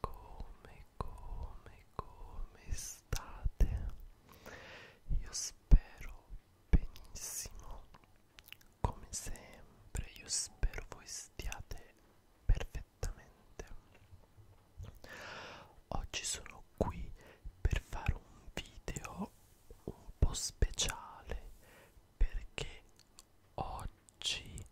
come, come, come state? Io spero benissimo, come sempre, io spero voi stiate perfettamente. Oggi sono qui per fare un video un po' speciale perché oggi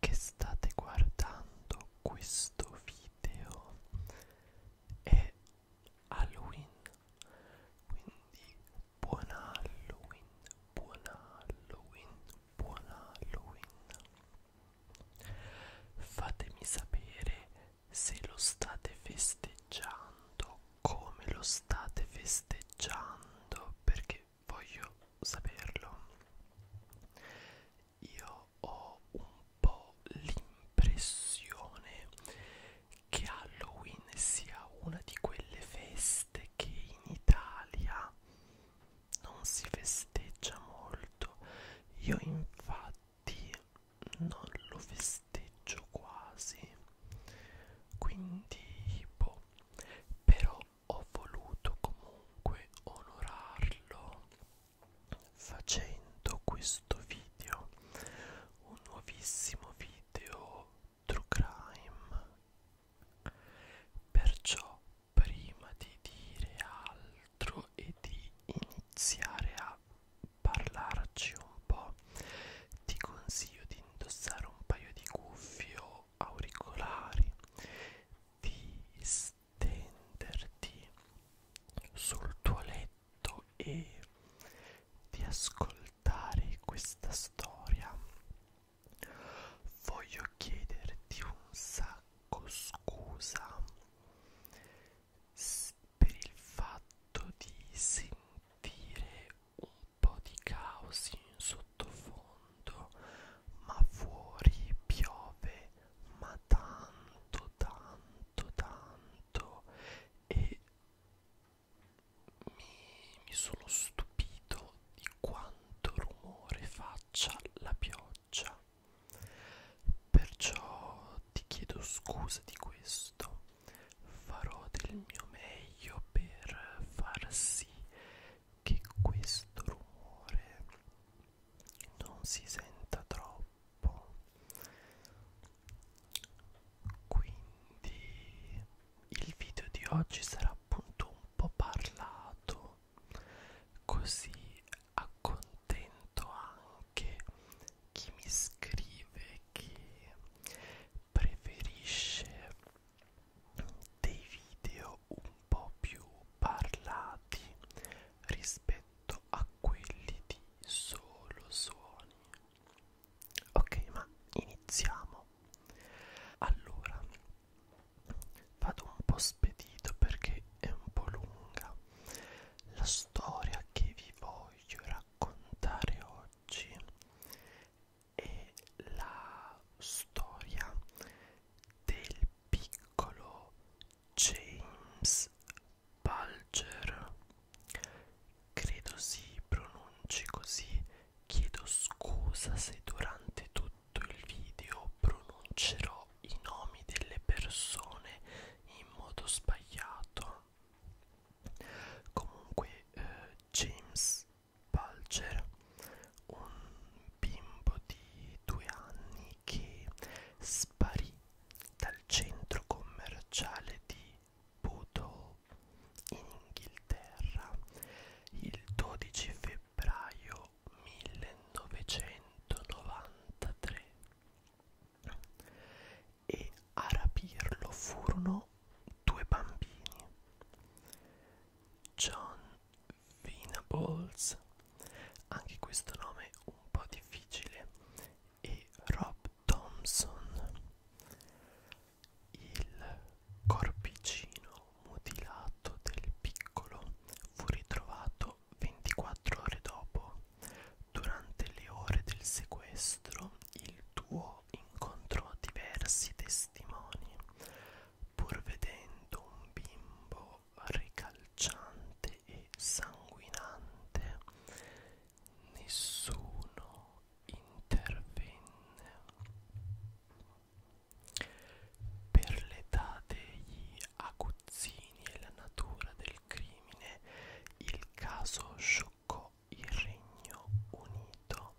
che state guardando questo video è Halloween quindi buon Halloween buon Halloween buon Halloween fatemi sapere se lo state festeggiando come lo state festeggiando perché voglio saperlo. Io ho un po' l'impressione che Halloween sia una di quelle feste che in Italia non si festeggia molto. Io infatti non lo festeggio quasi. Quindi boh. però ho voluto comunque onorarlo facendo questo video un nuovissimo video true crime perciò prima di dire altro e di iniziare a parlarci un po' ti consiglio di indossare un paio di cuffie o o auricolari di stenderti sul tuo letto e di ascoltare questa storia voglio chiederti un sacco scusa per il fatto di sentire un po' di caos in sottofondo, ma fuori piove, ma tanto, tanto, tanto e mi, mi sono stupito di quanto rumore faccia la pioggia. Perciò ti chiedo scusa di questo, farò del mio meglio per far sì che questo rumore non si senta troppo quindi il video di oggi sarà appunto un po' parlato così accontento anche chi mi scrive che preferisce dei video un po' più parlati rispetto a quelli di solo suoni ok ma iniziamo allora vado un po' spedito perché è un po' lunga la storia che vi voglio raccontare oggi è la storia del piccolo James Bulger credo si pronunci così chiedo scusa se durante tutto il video pronuncerò i nomi delle persone in modo sbagliato comunque eh, James Bulger, un bimbo di due anni che sparì dal centro commerciale di Poodle in Inghilterra il 12 febbraio 1993 e a rapirlo furono due bambini. John Venables, anche questo nome un po' difficile, e Rob Thompson. Il corpicino mutilato del piccolo fu ritrovato 24 ore dopo. Durante le ore del sequestro, il duo incontrò diversi testimoni, pur vedendo un bimbo ricalciante e sanguinante, nessuno intervenne. Per l'età degli aguzzini e la natura del crimine, il caso scioccò il Regno Unito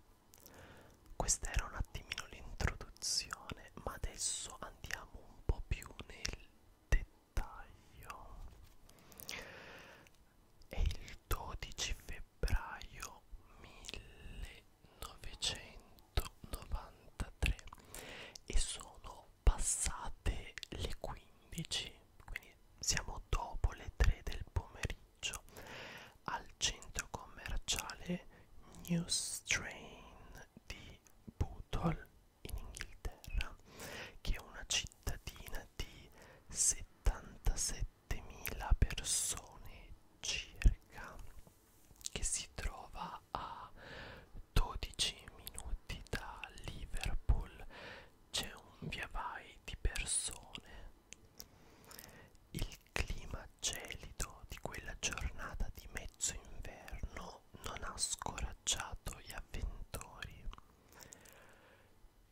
questa era un attimino l'introduzione, ma adesso andiamo un po' più nel dettaglio. È il 12 febbraio 1993 e sono passate le 15, quindi siamo dopo le 3 del pomeriggio viaggio al centro commerciale New Strain di Butol in Inghilterra, che è una cittadina di 77.000 persone circa, che si trova a 12 minuti da Liverpool. C'è un via vai di persone il clima gelido di quella giornata di mezzo inverno non ha scoraggiato gli avventori.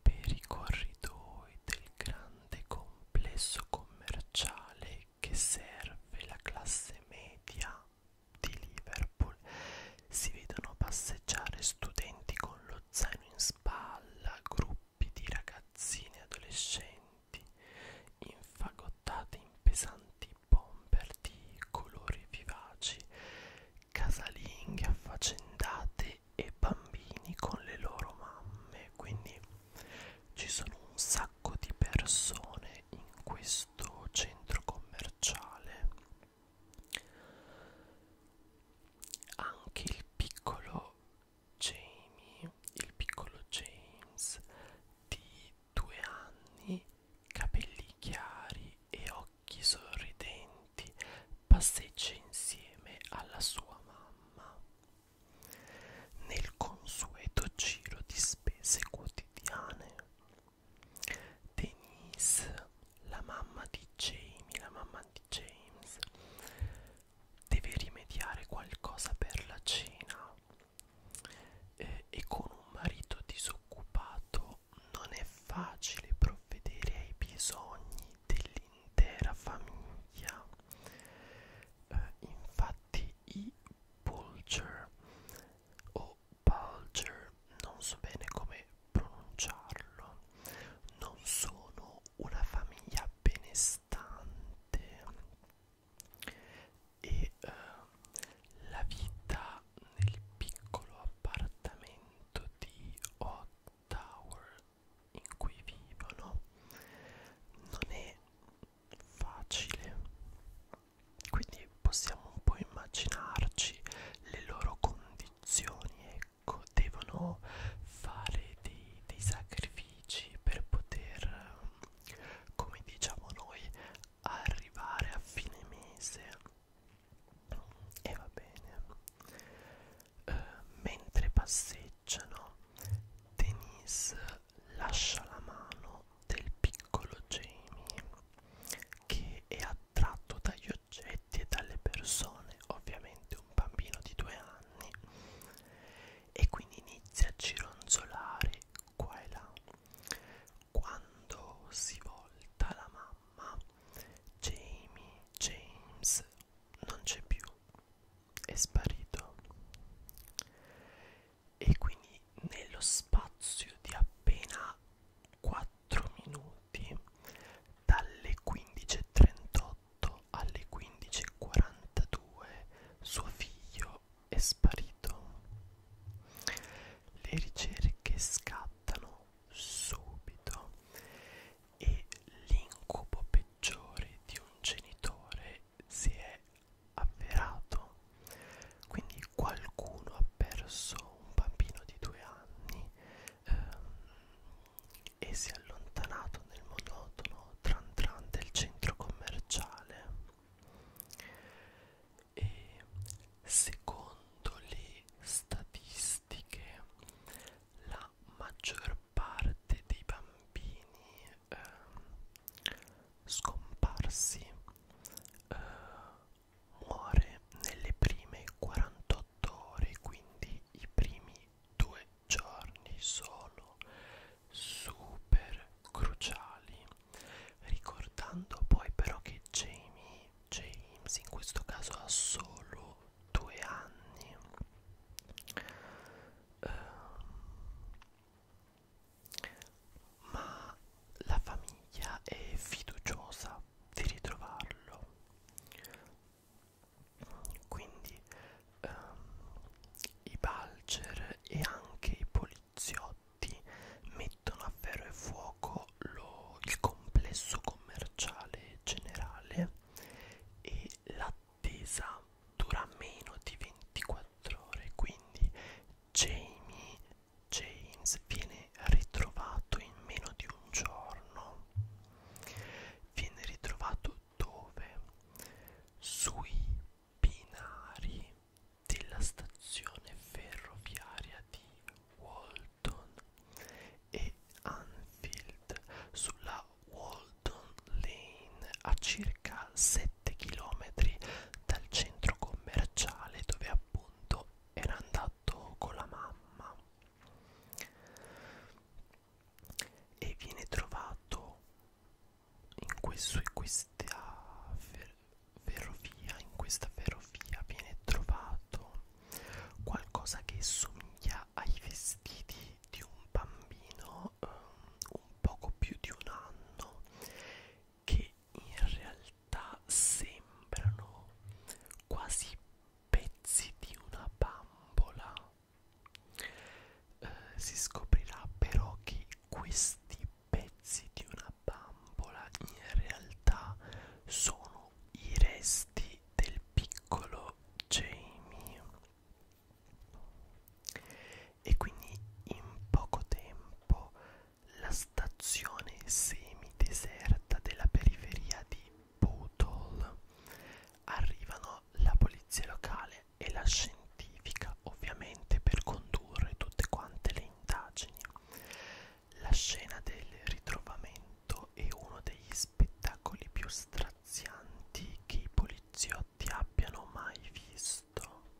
Per i corridoi del grande complesso commerciale che serve la classe media di Liverpool si vedono passeggiare studenti con lo zaino in spalla, gruppi gruppi di ragazzini e adolescenti infagottati in pesanti bomber di colori vivaci, casalinghe affaccendate e bambini con le loro mamme. Quindi ci sono un sacco di persone in questo centro commerciale. Anche il piccolo Jamie, il piccolo James di due anni, capelli chiari e occhi sorridenti, passeggia insieme alla sua mamma. Nel consueto giro di spese quotidiane, Denise, la mamma di Jamie, la mamma di James, deve rimediare qualcosa per la cena eh, e con un marito disoccupato non è facile provvedere ai bisogni dell'intera famiglia eh, infatti i Bulger o Bulger non so bene come pronunciarlo non sono una famiglia benestante e eh, la vita nel piccolo appartamento di Hot Tower in cui vivono non è facile quindi possiamo un po' immaginarci le loro condizioni e ecco ecco devono fare dei, dei sacrifici per poter come diciamo noi arrivare a fine mese e va bene eh, mentre passeggiano Denise lascia la mano del piccolo Jamie che è attratto dagli oggetti oggetti e dalle persone, ovviamente un bambino di due anni, e quindi inizia a gironzolare qua e là. Quando si volta la mamma, Jamie, James non c'è più, è sparito. E quindi nello spazio di appena 4 minuti, dalle 15.38 alle 15.42 suo figlio è sparito. Le ricerche scattano subito e l'incubo peggiore di un genitore si è avverato. Quindi qualcuno ha perso un bambino di due anni ehm, e si è allontanato nel monotono tran tran del centro commerciale e secondo le statistiche la maggior parte dei bambini ehm, scomparsi eh, muore nelle prime 48 ore quindi i primi due giorni sono super cruciali ricordando poi però che Jamie James in questo caso ha solo due anni uh, ma la famiglia è fiduciosa di ritrovarlo quindi um, i balger e anche i poliziotti mettono a ferro e fuoco lo, il complesso commerciale generale e l'attesa dura meno di 24 ore quindi Jamie James viene ritrovato in meno di un giorno Viene ritrovato dove? Sui binari della stazione ferroviaria di Walton e Anfield sulla Walton Lane a circa 7 km dal centro commerciale dove appunto era andato con la mamma e viene trovato in, questo, in questa fer ferrovia in questa ferrovia viene trovato qualcosa che somiglia ai vestiti di un bambino um, un poco più di un anno che in realtà sembrano quasi pezzi di una bambola. Eh, si scoprirà però che questi pezzi di una bambola in realtà sono i resti del piccolo Jamie. E quindi in poco tempo la stazione semideserta della periferia di Bootle. Arrivano la polizia locale e la scientifica ovviamente per condurre tutte quante le indagini. La scena del ritrovamento è uno degli spettacoli più strazianti che i poliziotti abbiano mai visto.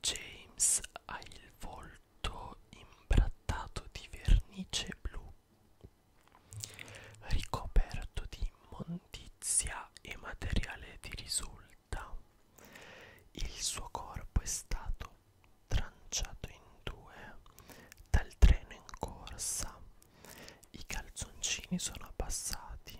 James ha il volto imbrattato di vernice blu ricoperto di immondizia e materiale di risulta. Il suo corpo è stato tranciato in due dal treno in corsa. I calzoncini sono abbassati.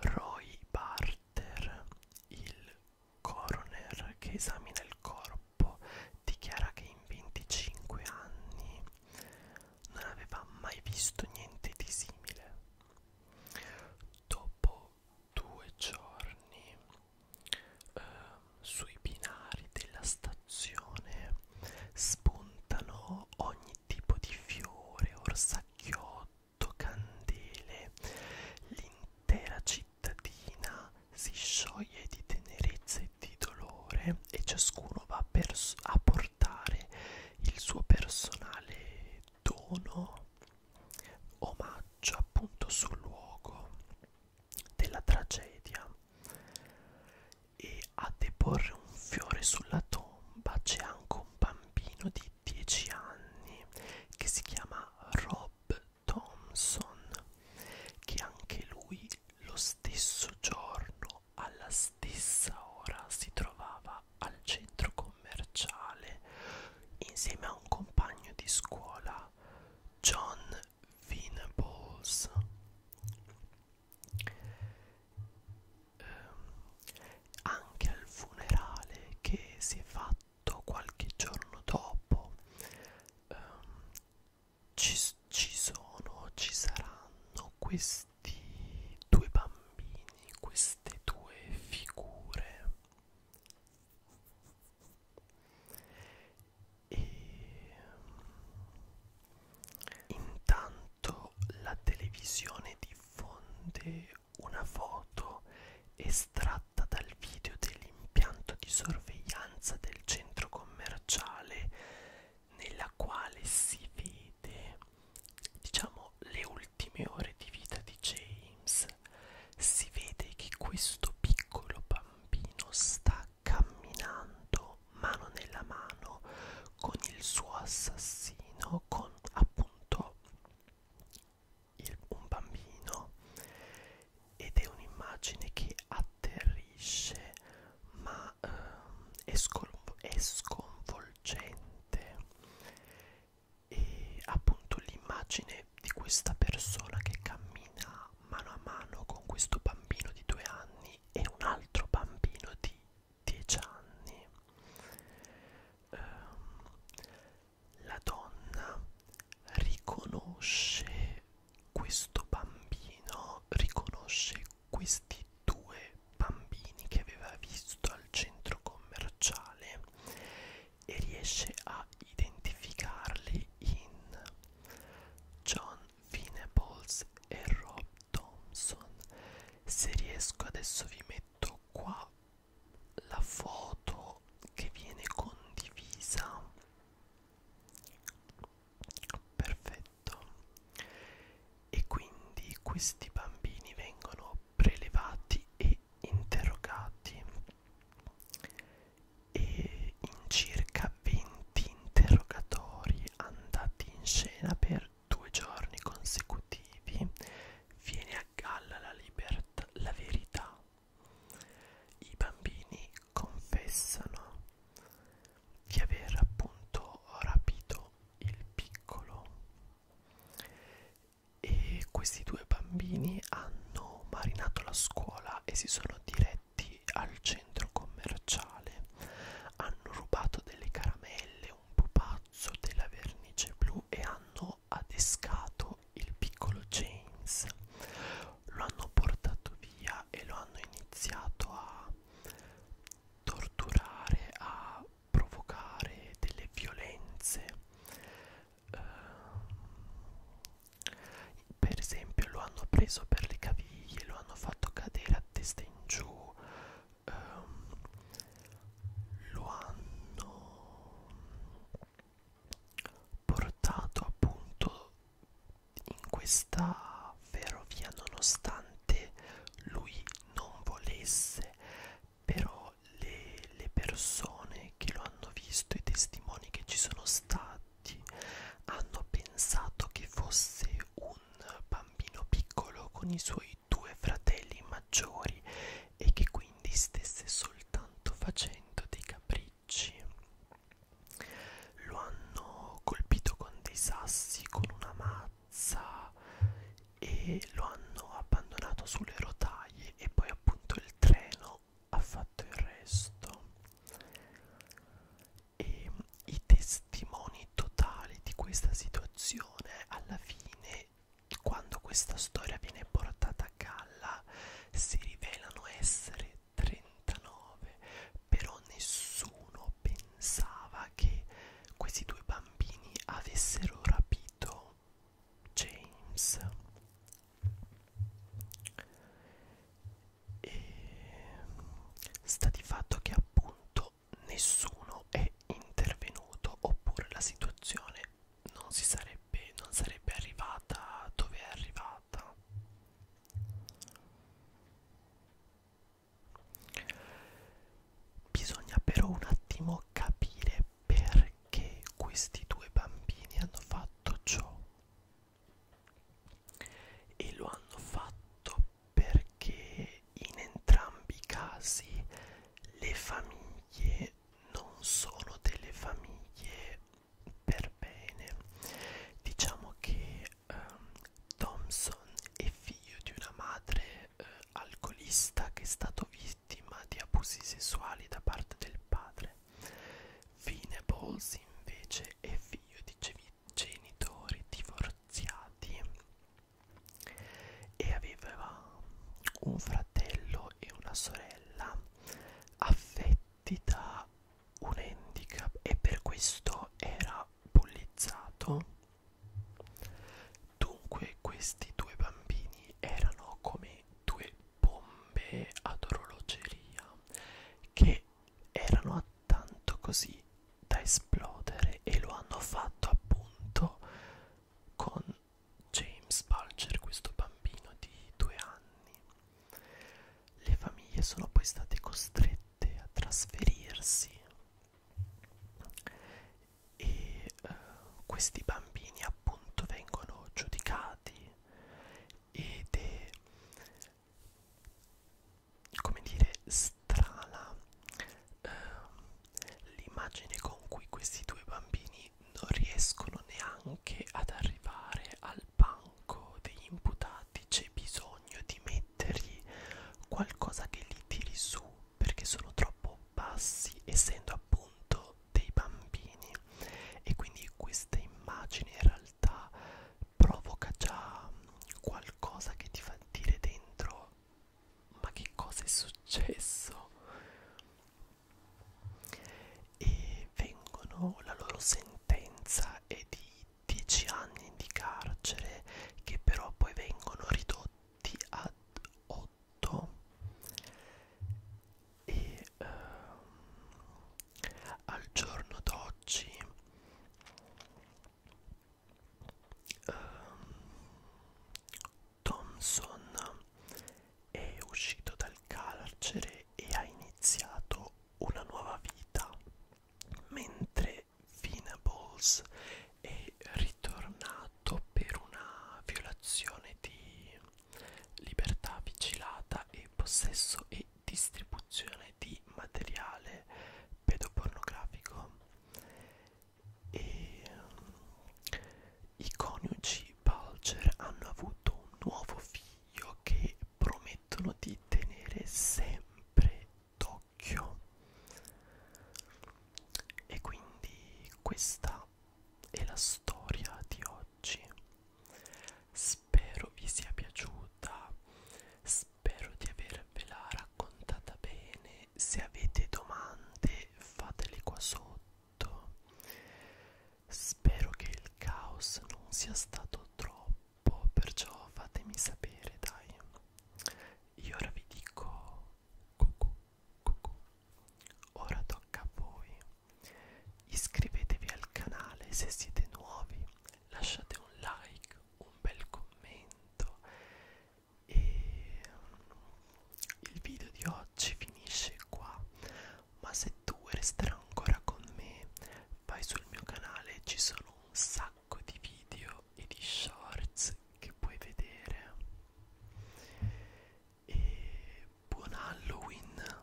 Roy Barter, il coroner che esamina il corpo, troppo dichiara che in 25 anni non aveva mai visto niente di simile dopo due giorni eh, sui binari della stazione spuntano ogni tipo di fiore orsacchiotto candele l'intera città cittadina si scioglie di tenerezza e di dolore e ciascuno va a portare il suo personale dono omaggio appunto sul luogo della tragedia e a deporre un fiore sulla tomba c'è anche un bambino di 10 anni che si chiama Rob Thompson che anche lui lo stesso giorno alla stessa ora si trovava al centro commerciale insieme a un compagno di scuola John Venables eh, anche al funerale che si è fatto qualche giorno dopo eh, ci, ci sono, ci saranno questi due bambini, queste due figure e intanto la televisione diffonde una foto estratta dal video del l'impianto di sorveglianza del centro commerciale nella quale si vede diciamo le ultime ore di vita di James si vede che questo piccolo bambino sta camminando mano nella mano con il suo assassino con appunto il, un bambino ed è un'immagine che atterrisce ma ehm, è, è sconvolgente e appunto l'immagine di questa persona che cammina mano a mano con questo bambino di due anni e un altro bambino di dieci anni ehm, la donna riconosce questo bambino, riconosce questi due bambini che aveva visto al centro commerciale e riesce a identificarli in John Venables e Rob Thompson. Se riesco adesso vi metto qua la foto che viene condivisa Perfetto. E quindi questi bambini vengono prelevati e interrogati e in circa 20 interrogatori andati in scena per due giorni consecutivi viene a galla la libertà, la verità i bambini confessano di aver appunto rapito il piccolo e questi due bambini hanno marinato la scuola e si sono diretti al centro commerciale. Hanno rubato delle caramelle, un pupazzo, della vernice blu e hanno adescato il piccolo James lo hanno portato via e lo hanno iniziato a torturare a provocare delle violenze eh, per esempio lo hanno preso per le caviglie lo hanno fatto cadere a testa in giù eh, lo hanno portato appunto in questa ferrovia nonostante lui non volesse però le, le persone che lo hanno visto i testimoni che ci sono stati hanno pensato che fosse un bambino piccolo con i suoi due fratelli maggiori e che quindi stesse soltanto facendo dei capricci ricci lo hanno colpito con dei sassi, con una mazza e lo hanno abbandonato sulle rotaie e poi appunto il treno ha fatto il resto. E i testimoni totali di questa situazione alla fine quando questa storia viene portata a casa palla si rivelano essere 39, però nessuno pensava che questi due bambini avessero rapito James. E sta di fatto che appunto nessuno è intervenuto oppure la situazione non si sarebbe non sarebbe arrivata dove è arrivata bisogna però un attimo capire perché questi due bambini hanno fatto ciò e lo hanno fatto perché in entrambi i casi le famiglie non sono delle famiglie per bene diciamo che um, Thompson è figlio di una madre uh, alcolista che è stato vittima di abusi sessuali da parte del padre Venables invece è figlio di genitori divorziati e aveva un fratello e una sorella affetti da un handicap e per questo era bullizzato. Dunque questi due bambini erano come due bombe ad orologeria che erano tanto così da esplodere e lo hanno fatto appunto con James Palcher, questo bambino di due anni. Le famiglie sono poi state costrette a trasferirsi e eh, questi bambini appunto vengono giudicati ed è come dire strana eh, l'immagine con cui questi due bambini quindi non riescono neanche ad arrivare al banco degli imputati c'è bisogno di mettergli qualcosa che li tiri su perché sono troppo bassi essendo appunto dei bambini e quindi questa immagine in realtà provoca già qualcosa che ti fa dire dentro ma che cosa è successo e vengono la loro sentenza è di 10 anni di carcere che però poi vengono ridotti ad 8 e ehm, al giorno d'oggi ehm, Thompson è uscito dal carcere e ha iniziato una nuova vita, mentre Venables è ritornato per una violazione di libertà vigilata e possesso e distribuzione di materiale pedopornografico e um, i coniugi i Bulger hanno avuto un nuovo figlio che promettono di tenere sempre d'occhio e quindi questa è la storia di oggi spero vi sia piaciuta spero di avervela raccontata bene se avete domande fatele qua sotto Spero che il caos non sia stato troppo, perciò fatemi sapere, dai. Io ora vi dico cucù, cucù. Ora tocca a voi. Iscrivetevi al canale se siete nuovi, lasciate un like, un bel commento e il video di oggi finisce qua ma se tu vuoi restare ancora con me vai sul mio canale ci sono un sacco di video e di shorts che puoi vedere e buon Halloween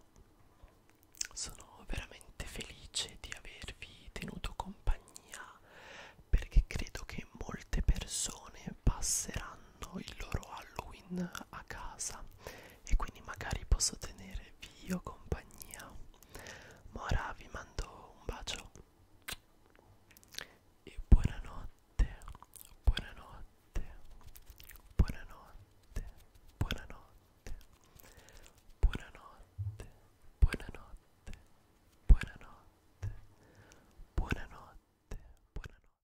sono veramente felice di avervi tenuto compagnia perché credo che molte persone passeranno il loro Halloween a casa e quindi magari posso tenervi io compagnia. Ma ora vi mando un bacio e buonanotte, buonanotte, buonanotte, buonanotte, buonanotte, buonanotte, buonanotte, buonanotte, buonanotte.